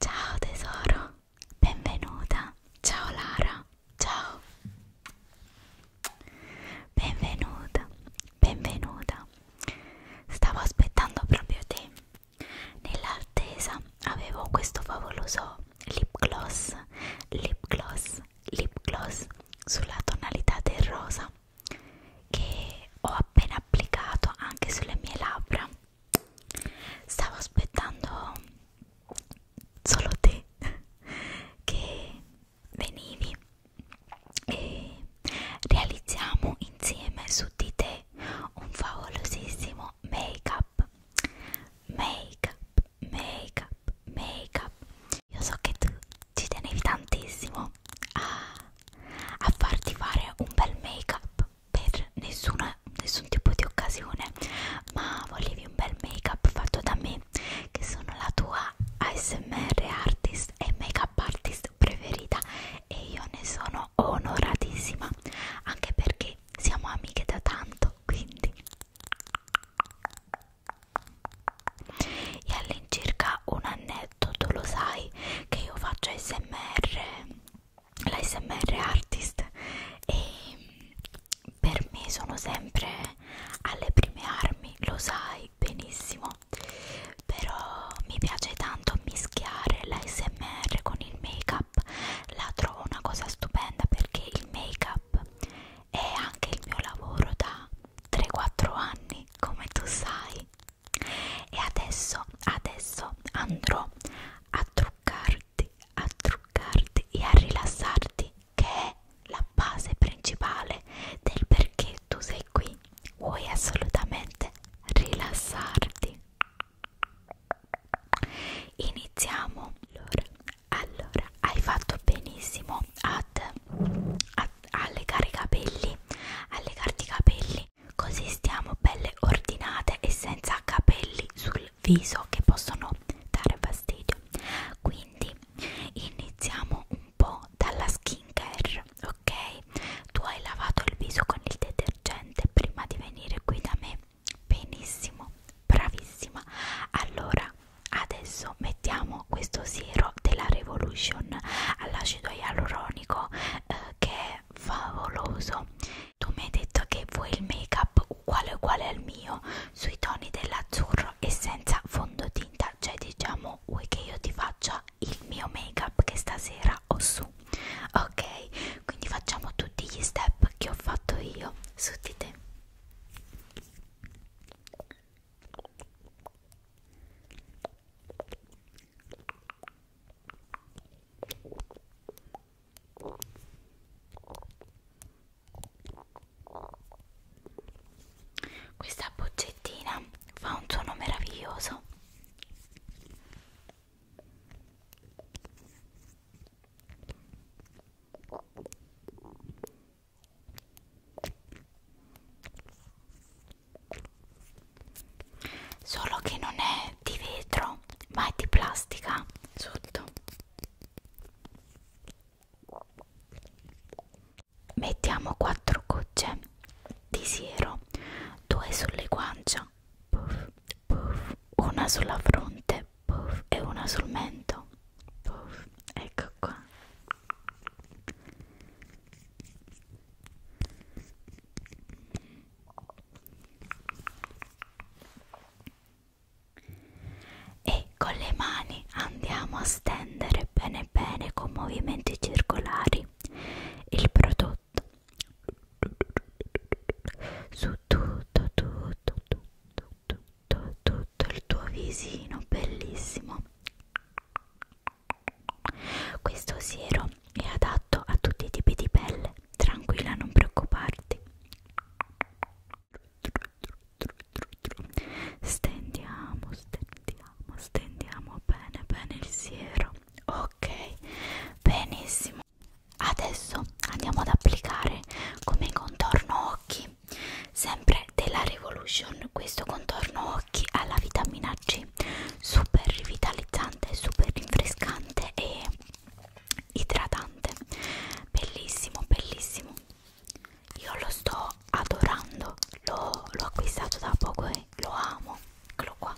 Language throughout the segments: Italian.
Ciao tesoro, benvenuta. Ciao Lara ciao benvenuta benvenuta stavo aspettando proprio te nell'attesa avevo questo favoloso lip gloss lip gloss lip gloss sulla tonalità del rosa che ho appena applicato anche sulle mie labbra stavo aspettando solo te che venivi e realizziamo insieme su di te un favolosissimo make up make up make up make up io so che tu ci tenevi tantissimo a, a farti fare un bel make up per nessuna, nessun tipo di occasione ma volevi un bel make up fatto da me Mimi che sono la tua ASMR artist e makeup artist preferita e io ne sono onoratissima anche perché siamo amiche da tanto quindi e all'incirca un annetto tu lo sai che io faccio ASMR la ASMR artist e per me sono sempre alle prime armi, lo sai benissimo, però mi piace tanto mischiare l'ASMR con il make-up, la trovo una cosa stupenda perché il make-up è anche il mio lavoro da 3-4 anni, come tu sai. E adesso, adesso andrò a truccarti, a truccarti e a rilassarti che è la base principale del perché tu sei qui. Vuoi assolutamente rilassarti. Iniziamo. Allora, allora hai fatto benissimo ad, ad allegare i capelli, allegarti i capelli, così stiamo belle ordinate e senza capelli sul viso che possono dare fastidio quindi iniziamo un po' dalla skincare ok tu hai lavato il viso con il detergente prima di venire qui da me benissimo bravissima allora adesso mettiamo questo siero della revolution all'acido ialuronico eh, che è favoloso tu mi hai detto che vuoi il make up uguale uguale al mio sui toni dell'azzurro altro e senza fondotinta cioè diciamo vuoi che io ti faccia il mio make up che stasera ho su ok quindi facciamo tutti gli step che ho fatto io su di te questa boccettina fa un suono meraviglioso. Solo che non è di vetro, ma è di plastica sotto. Mettiamo 4 gocce di siero, 2 sulle guancia, puff, puff, una sulla fronte puff, e una sul mento. Puff, ecco qua e con le mani andiamo a stendere bene bene con movimenti circolari il prodotto su tutto tutto tutto tutto tutto il tuo visino bellissimo questo siero è adatto a tutti i tipi di pelle tranquilla non preoccuparti tru, tru, tru. Stendiamo, stendiamo, stendiamo bene, bene il siero. Ok, benissimo. Adesso andiamo ad applicare come contorno occhi, sempre della Revolution, questo contorno occhi alla vitamina C, super rivitalizzante, super rinfrescante e idratante. Bellissimo, bellissimo io lo sto adorando l'ho acquistato da poco e lo amo eccolo qua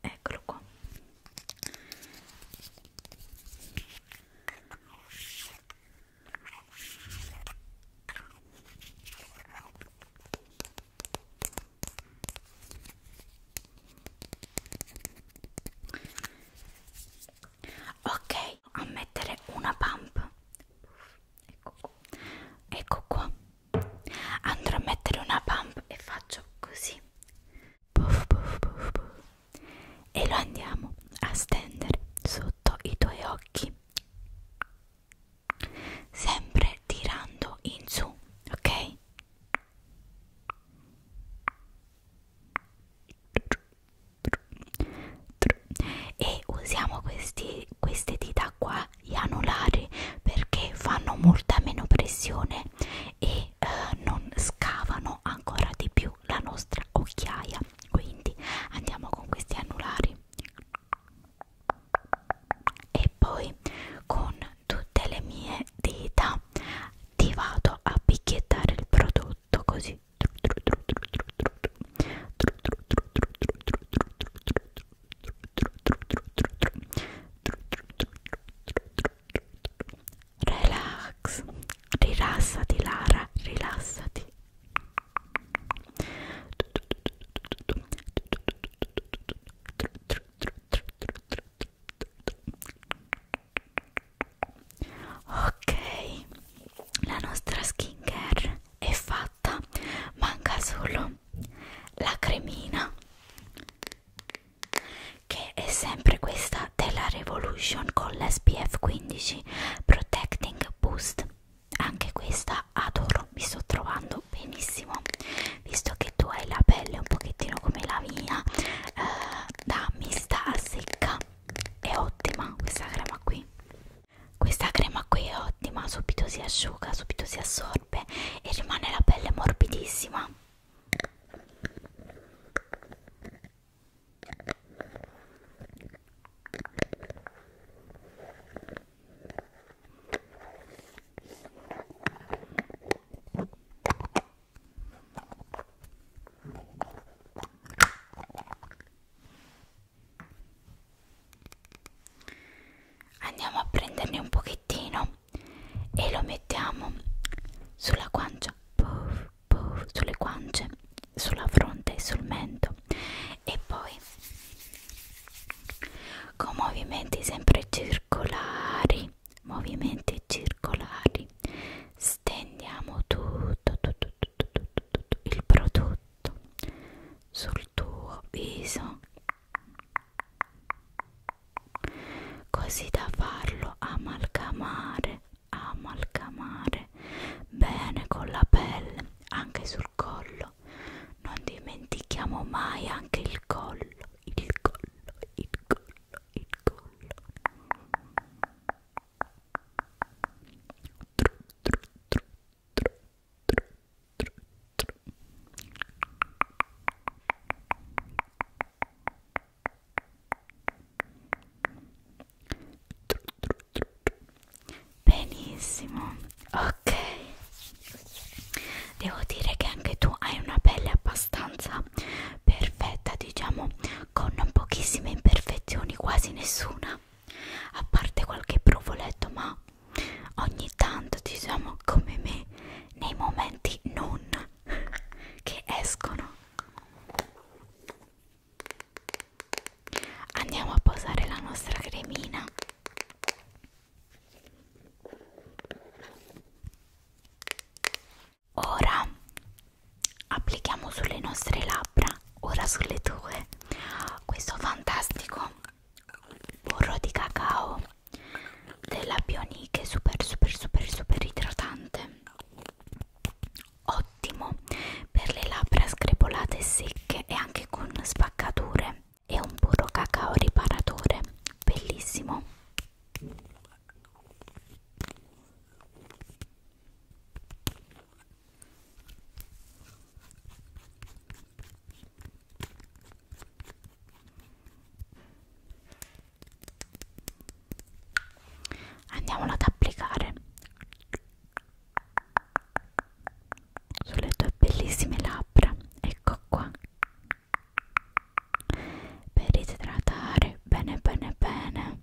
eccolo qua ok a mettere una pump ecco qua. ecco qua andrò a mettere una pump e faccio così puff, puff, puff, puff. e lo andiamo a stendere sotto i tuoi occhi sempre tirando in su ok e usiamo questi, queste dita qua gli anulari perché fanno molta meno pressione e eh, non scavano ancora di più la nostra occhiaia quindi andiamo con questi anulari e poi con tutte le mie dita ti vado a picchiettare il prodotto tutto così relax rilassati Lara rilassati ok la nostra skincare è fatta manca solo la cremina che è sempre questa della Revolution con l'SPF 15 Protecting Boost anche questa adoro mi sto trovando benissimo visto che tu hai la pelle un pochettino come la mia eh, da mista a secca è ottima questa crema qui questa crema qui è ottima, subito si asciuga, subito si assorbe e rimane la pelle morbidissima andiamo a prenderne un pochettino e lo mettiamo sulla guancia puff, puff, sulle guance sulla fronte e sul mento e poi con movimenti sempre circolari movimenti circolari stendiamo tutto tutto il prodotto sul tuo viso così da farlo amalgamare amalgamare bene con la pelle anche sul collo non dimentichiamo mai anche il collo il collo il collo il collo Benissimo, ok. Devo dire che anche tu hai una pelle abbastanza perfetta, diciamo, con pochissime imperfezioni, quasi nessuna a parte qualche provoletto ma ogni tanto ci siamo come me nei momenti non che escono andiamo a posare la nostra cremina ora applichiamo sulle nostre labbra labbra, ora sulle tue questo fantastico burro di cacao della Bioniche super super super super idratante ottimo per le labbra screpolate e secche e anche con spaccature è un burro cacao riparatore bellissimo Andiamolo ad applicare sulle tue bellissime labbra, ecco qua, per idratare bene bene bene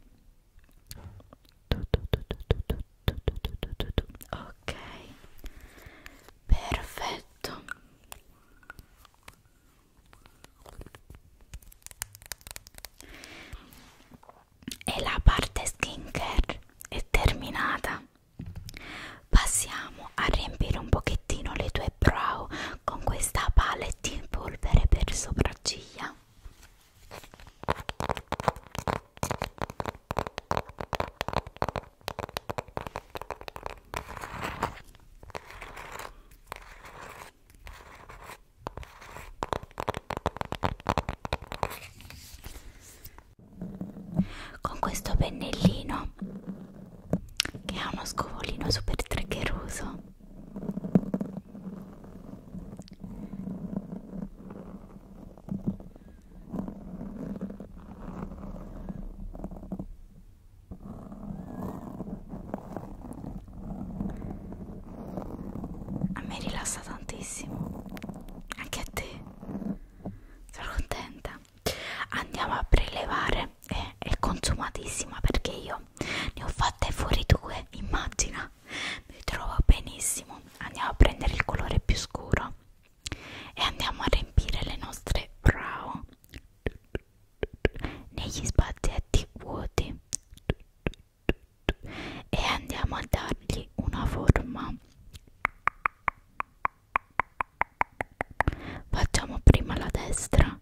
ok perfetto e la parte skincare è terminata passiamo a riempire un pochettino le tue brow con questa palette in polvere per sopracciglia con questo pennellino che ha uno scovolino super treccheroso a me rilassa tantissimo, anche a te. Sono contenta. Andiamo a prelevare. È, eh, è consumatissima perché io ne ho fatte fuori due, immagina mi trovo benissimo andiamo a prendere il colore più scuro e andiamo a riempire le nostre brow negli spazietti vuoti e andiamo a dargli una forma facciamo prima la destra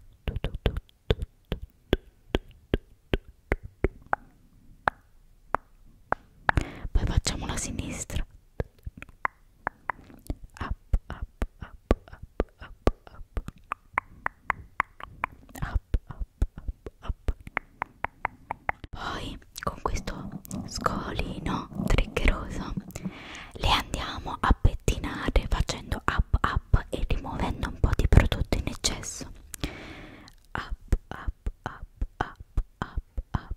poi facciamo la sinistra up up up up up up up up up poi con questo scolino triggeroso le andiamo a pettinare facendo up up e rimuovendo un po' di prodotto in eccesso up up up up up up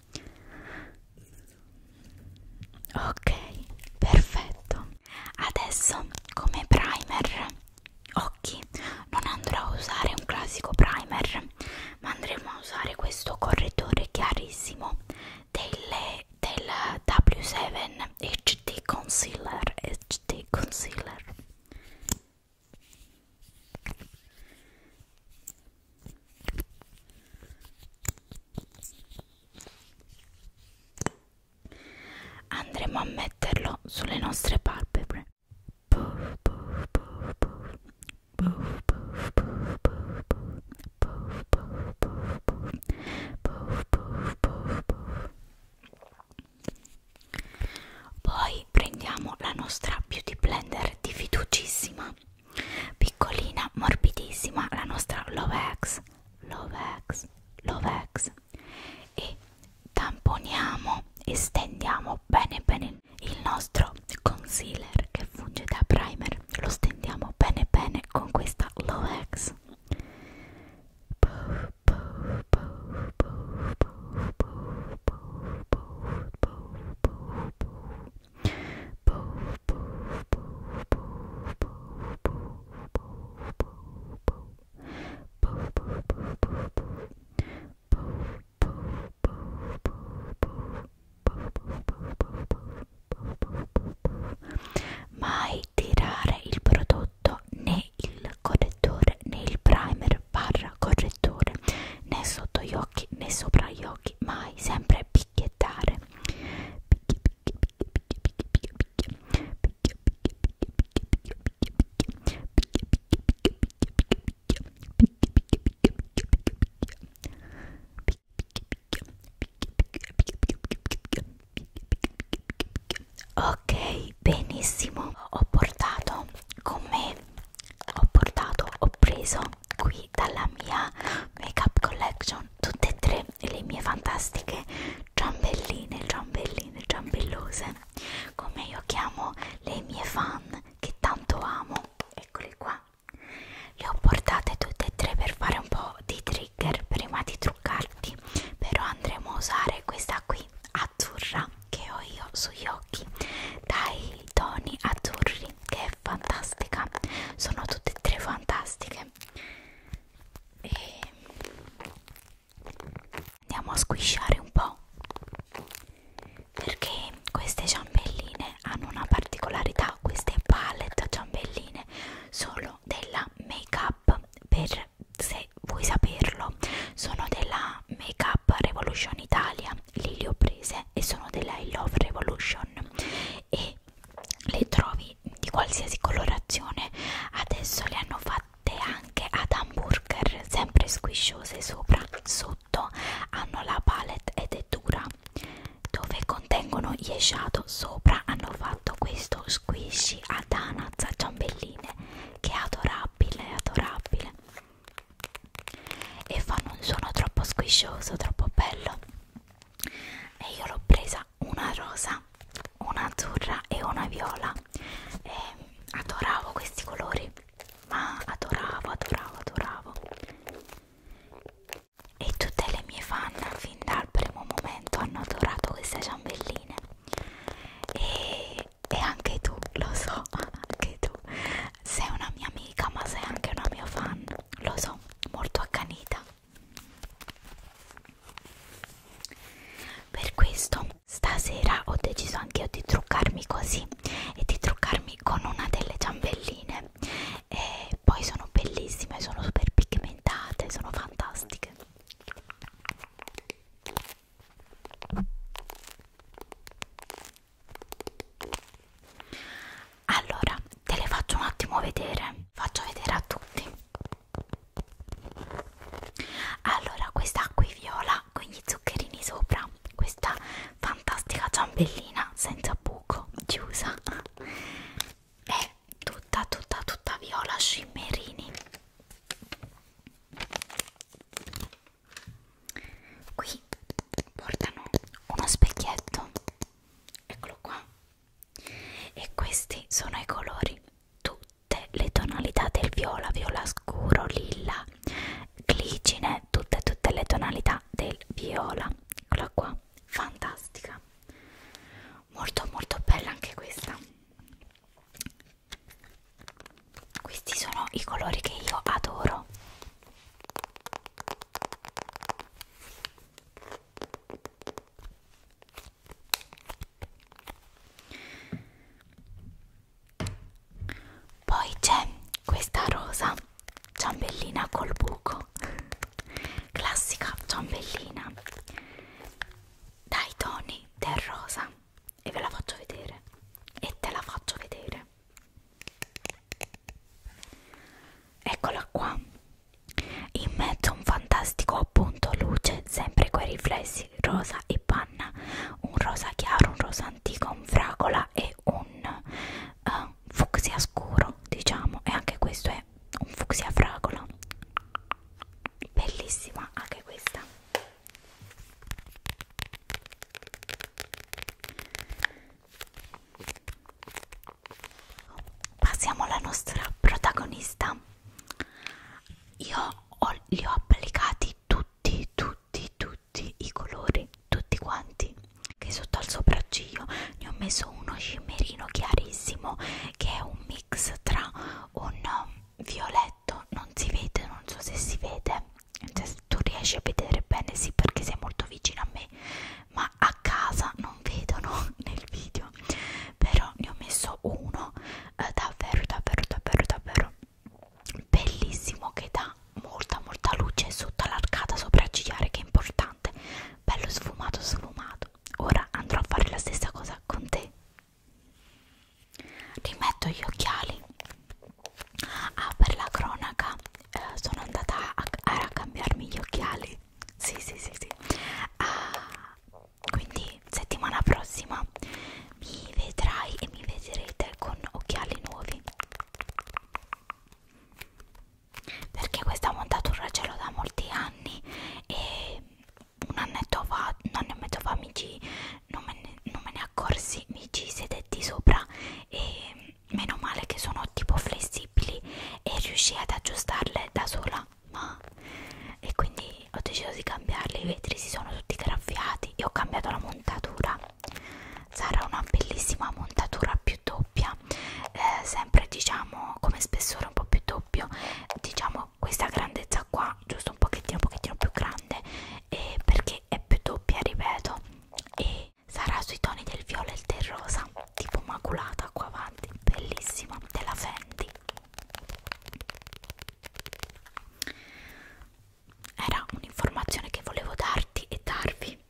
ok perfetto adesso come primer occhi non andrò a usare un classico primer ma andremo a usare questo correttore chiarissimo delle, del W7 HD Concealer HD Concealer Andremo a metterlo sulle nostre palpebre. Puff, puff, puff, puff. Puff, puff, puff, puff, puff. Puff, puff, puff, puff. Puff, puff, puff, puff. Poi prendiamo la nostra beauty blender di fiducissima Piccolina, morbidissima, la nostra Lovex, Lovex, Lovex e tamponiamo e stendiamo bene bene il nostro concealer che funge da primer, lo stendiamo bene bene con questa Lovex. Puff, mai tirare il prodotto né il correttore né il primer barra correttore né sotto gli occhi né sopra gli occhi mai sempre più picchiettare picchia picchia picchia picchia picchia picchia picchia picchia picchia Ok, benissimo, ho portato con me, ho portato, ho preso qui dalla mia make up collection tutte e tre le mie fantastiche ciambelline, ciambelline, ciambellose come io chiamo le mie fan che tanto amo eccole qua le ho portate tutte e tre per fare un po' di trigger prima di truccarti però andremo a usare questa qui azzurra che ho io sugli occhi dai toni azzurri che è è fantastica sono tutte e tre fantastiche e andiamo a squisciare un po' perché queste ciambelline hanno una particolarità queste palette ciambelline sono della make up per se vuoi saperlo sono della make up revolution italia lì le ho prese e sono della I love revolution e le trovi di qualsiasi colorazione adesso le hanno fatte anche ad hamburger sempre squisciose sopra sotto hanno la palette ed è dura dove contengono gli esciato sopra hanno fatto questo squishy ad anaz a ciambelline che è adorabile è adorabile e fanno un suono troppo squiscioso troppo bello e io l'ho presa una rosa, una azzurra e una viola e adoravo questi colori ma adoravo, adoravo, adoravo e tutte le mie fan fin dal primo momento hanno adorato queste ciambelline e, e anche tu, lo so, anche tu sei una mia amica ma sei anche una mia fan, lo so, molto accanita per questo stasera ho deciso anche io di truccarmi così e di truccarmi con una delle ciambelline e poi sono bellissime, sono super pigmentate, sono fantastiche allora te le faccio un attimo vedere faccio vedere a tutti allora questa qui viola con gli zuccherini sopra questa fantastica ciambellina senza buco chiusa è tutta tutta tutta viola scimmerini qui portano uno specchietto eccolo qua e questi sono i colori tutte le tonalità del viola viola scuro lilla glicine tutte tutte le tonalità del viola eccola qua fantastica molto molto bella anche questa questi sono i colori che io adoro poi c'è questa rosa ciambellina col buco, classica ciambellina dai toni del rosa e ve la faccio vedere e te la faccio vedere eccola qua in mezzo a un fantastico appunto luce, sempre quei riflessi rosa e panna, un rosa chiaro, un rosa antico, un fragola e un uh, fucsia scuro, diciamo, e anche questo è un fucsia fragola. Bellissima anche questa. Passiamo alla nostra protagonista. Io ho, li ho applicati tutti, tutti, tutti i colori, tutti quanti. Che sotto al sopracciglio ne ho messo uno scimmerino chiarissimo che è un mix tra un violetto, non si vede, non so se si vede. Cioè, se tu riesci a vedere bene, sì, perché sei molto vicino a me, ma a casa non vedono nel video però ne ho messo uno eh, davvero davvero davvero davvero bellissimo che dà molta molta luce sotto l'arcata sopraccigliare che è importante bello sfumato sfumato ora andrò a fare la stessa cosa con te rimetto gli occhiali ah per la cronaca eh, sono andata a, a cambiarmi gli occhiali sì, sì, sì, sì. Ah, quindi settimana prossima mi vedrai e mi vedrete con occhiali nuovi. Perché questa montatura ce l'ho da molti anni e un annetto fa, un anno e mezzo fa mi ci, non, me ne, non me ne accorsi, mi ci sedetti sopra e meno male che sono tipo flessibili e riuscii ad aggiustarle da sola mamma e quindi ho deciso di cambiarli i vetri si sono tutti graffiati e ho cambiato la montatura sarà una bellissima montatura più doppia eh, sempre diciamo come spessore un po' più doppio diciamo questa grandezza qua giusto un pochettino un pochettino più grande eh, perché è più doppia ripeto e sarà sui toni del viola e del rosa tipo maculata qua davanti bellissima della Fendi era un'informazione che volevo darti e darvi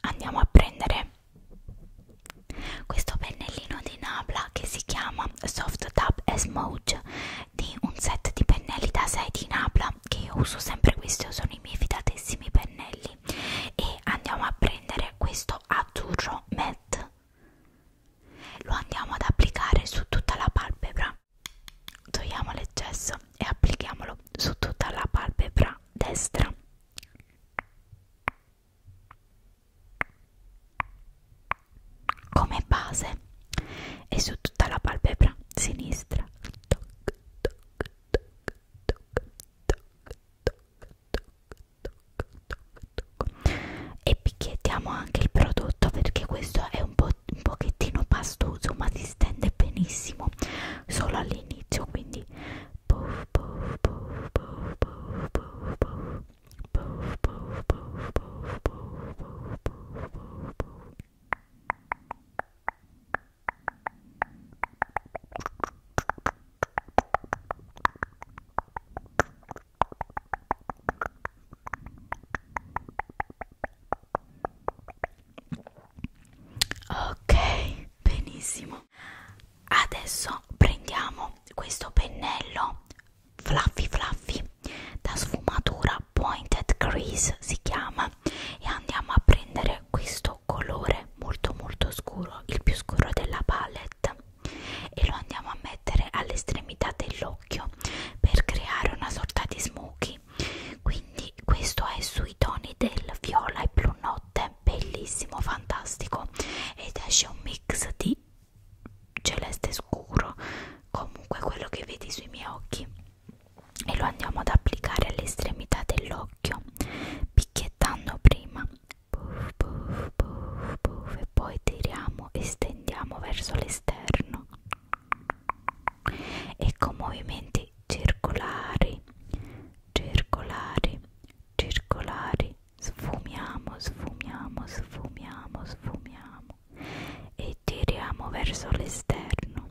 andiamo a prendere questo pennellino di Nabla che si chiama Soft Tab Smooth di un set di pennelli da 6 di Nabla che io uso sempre questi sono i miei fidatissimi pennelli e andiamo a prendere prendere questo azzurro matte lo andiamo ad applicare su tutta la palpebra togliamo l'eccesso e applichiamolo su tutta la palpebra destra come base e su tutta la palpebra sinistra toc, toc, toc, toc, toc, e picchiettiamo anche il prodotto perché questo è un, po un pochettino pastoso ma si stende benissimo solo all'inizio quindi puff, puff, puff, puff, puff, puff, puff. Puff, puff, puff, puff, puff, puff, puff, puff. Ok, benissimo. Adesso prendiamo questo pennello fluffy fluffy da sfumatura pointed crease si chiama e andiamo a prendere questo questo colore molto molto scuro il più scuro della palette e lo andiamo a mettere all'estremità dell'occhio per creare una sorta di smoky quindi questo è sui toni del viola e blu notte bellissimo fantastico ed esce un mix di celeste scuro comunque quello che vedi sui miei occhi e lo andiamo ad applicare all'estremità dell'occhio picchiettando prima puff, puff, puff, puff, e poi tiriamo e stendiamo verso l'esterno e con movimenti circolari circolari circolari sfumiamo sfumiamo sfumiamo sfumiamo e tiriamo verso l'esterno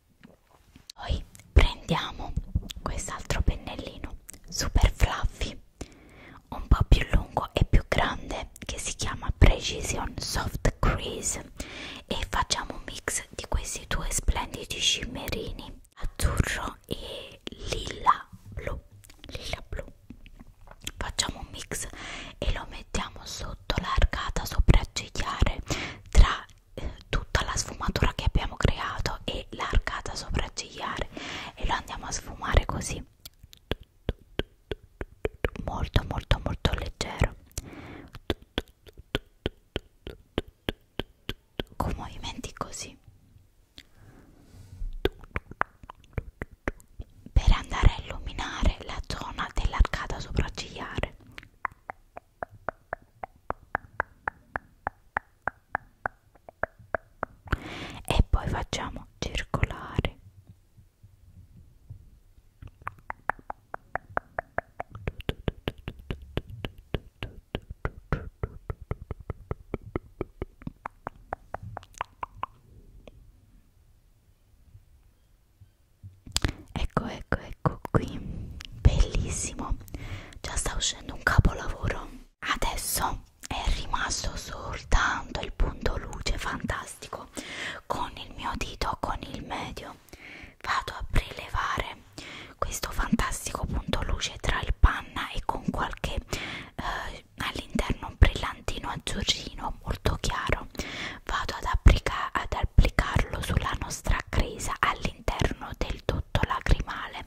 Poi prendiamo quest'altro pennellino super fluffy, un po' più lungo e più grande, che si chiama Precision Soft Crease, e facciamo un mix di questi due splendidi scimmerini azzurro e lilla blu. Lilla blu. Facciamo un mix e lo mettiamo sotto l'arcata sopraccigliare tra eh, tutta la sfumatura che abbiamo creato e l'arcata sopraccigliare e lo andiamo a sfumare così molto molto molto leggero con movimenti così per andare a illuminare la zona dell'arcata sopraccigliare e poi facciamo circolare Ecco, ecco, ecco qui, bellissimo, già sta uscendo facendo un capolavoro adesso è rimasto soltanto il punto luce fantastico con il mio dito con il medio vado a prelevare questo fantastico punto luce tra il panna e con qualche eh, all'interno un brillantino azzurrino molto chiaro vado ad, applica ad applicarlo sulla nostra cresa all'interno del tutto lacrimale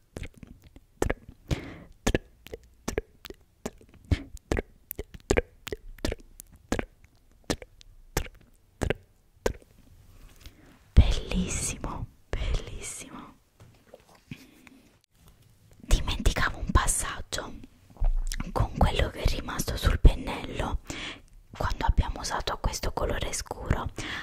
Bellissimo, bellissimo. Dimenticavo un passaggio con quello che è rimasto sul pennello quando abbiamo usato questo colore scuro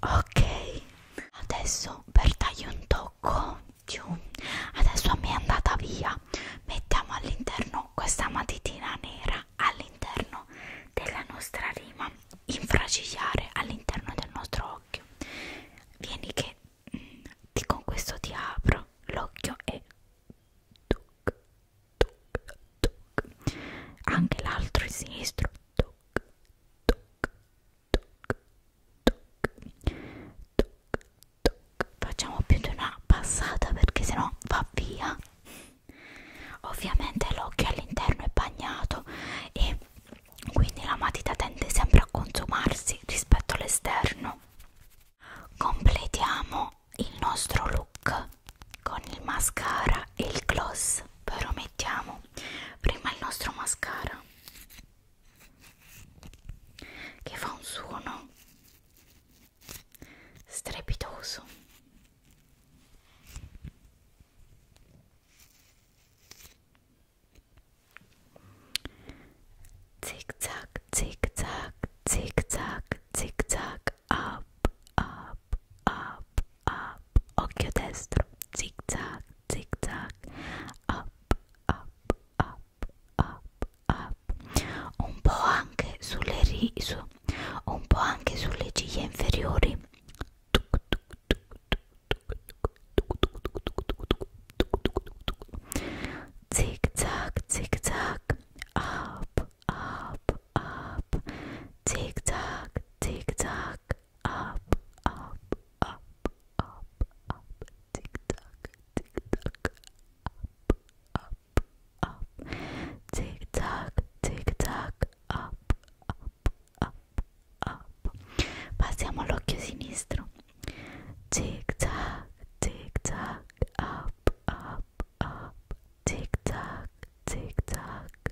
ok adesso per dargli un tocco più adesso mi è andata via mettiamo all'interno questa matitina nera all'interno della nostra rima infracigliare all'interno del nostro occhio vieni che mh, mm, ti, con questo ti apro l'occhio e tuc tuc, tuc. anche l'altro è sinistro tuc, tuc, tuc, tuc, tuc, tuc. facciamo più di una passata perché sennò va via ovviamente l'occhio all'interno è bagnato e quindi la matita tende sempre a consumarsi rispetto all'esterno completiamo il nostro look con il mascara e il gloss però mettiamo prima il nostro mascara che fa un suono strepitoso zig zag zig zag zig zag zig zag up, up, up, up, occhio destro, zig zag, up, up, up, up, up, un po' anche sulle riso, un po' anche sulle ciglia inferiori. Zig zag, up, up, up. Tick tock, tick tock, up, up, up, up, up. Tick tock, tick tock, up, up, up. Tick tock, tick tock, up, up, up, up. Passiamo all'occhio sinistro. Tick tock, tick tock, up, up, up. Tick tock, tick tock,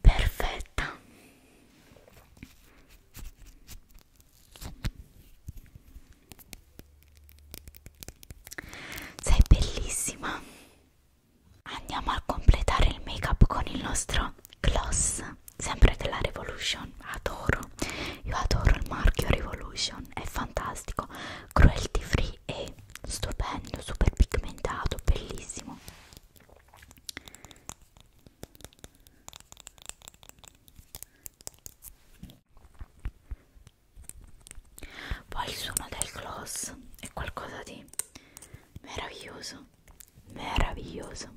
perfetta sei bellissima andiamo a completare il make up con il nostro gloss sempre della revolution adoro io adoro il marchio revolution è fantastico cruelty free e stupendo super pigmentato bellissimo poi il suono del gloss è qualcosa di meraviglioso, meraviglioso.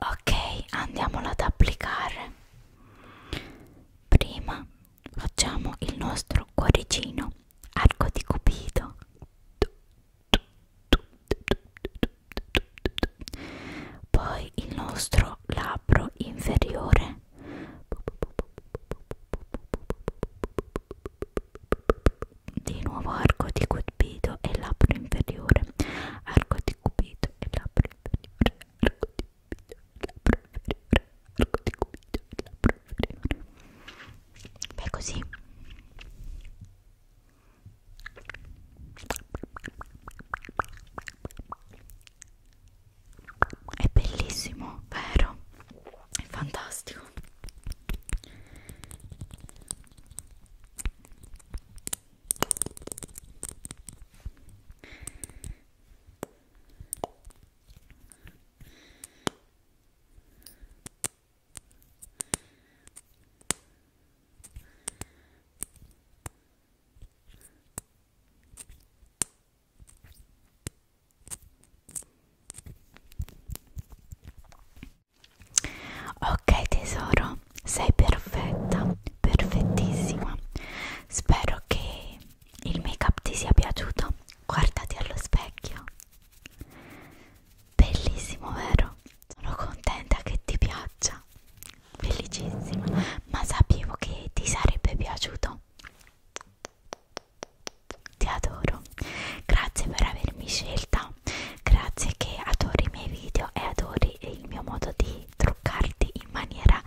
ok andiamolo ad applicare prima facciamo il nostro cuoricino arco di cupido poi il nostro labbro inferiore di nuovo arco di cupido e labbro inferiore arco di cupido e labbro inferiore arco di cupido e labbro inferiore arco di cupido e labbro inferiore beh così è bellissimo, vero? È fantastico. Ok tesoro, sei perfetta, perfettissima. Spero che il make up ti sia piaciuto. Guardati allo specchio. Bellissimo, vero? Sono contenta che ti piaccia. Felicissima. Ma sapevo che ti sarebbe piaciuto. Ti adoro, grazie per avermi scelta, grazie che adori i miei video e adori il mio modo di truccarti in maniera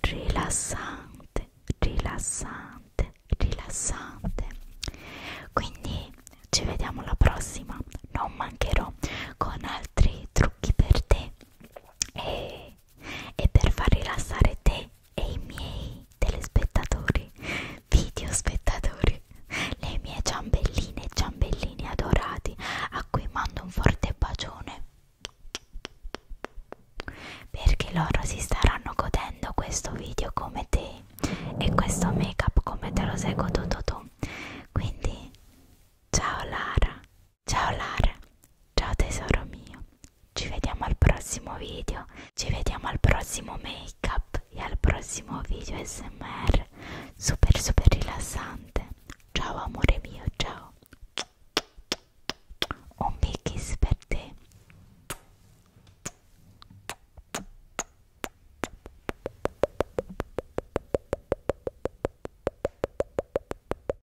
rilassante, rilassante, rilassante. Quindi ci vediamo alla prossima, non mancherò con altri trucchi per te e e per far rilassare te e i miei telespettatori, videospettatori, le mie ciambelline e ciambellini adorati a cui mando un forte bacione perché loro si staranno godendo questo video come te e questo make up come te lo sei goduto tu quindi ciao Lara Ciao Lara, ciao tesoro mio, ci vediamo al prossimo video, ci vediamo al prossimo make up e al prossimo video smr super super rilassante. Ciao amore mio, ciao. Un big kiss per te.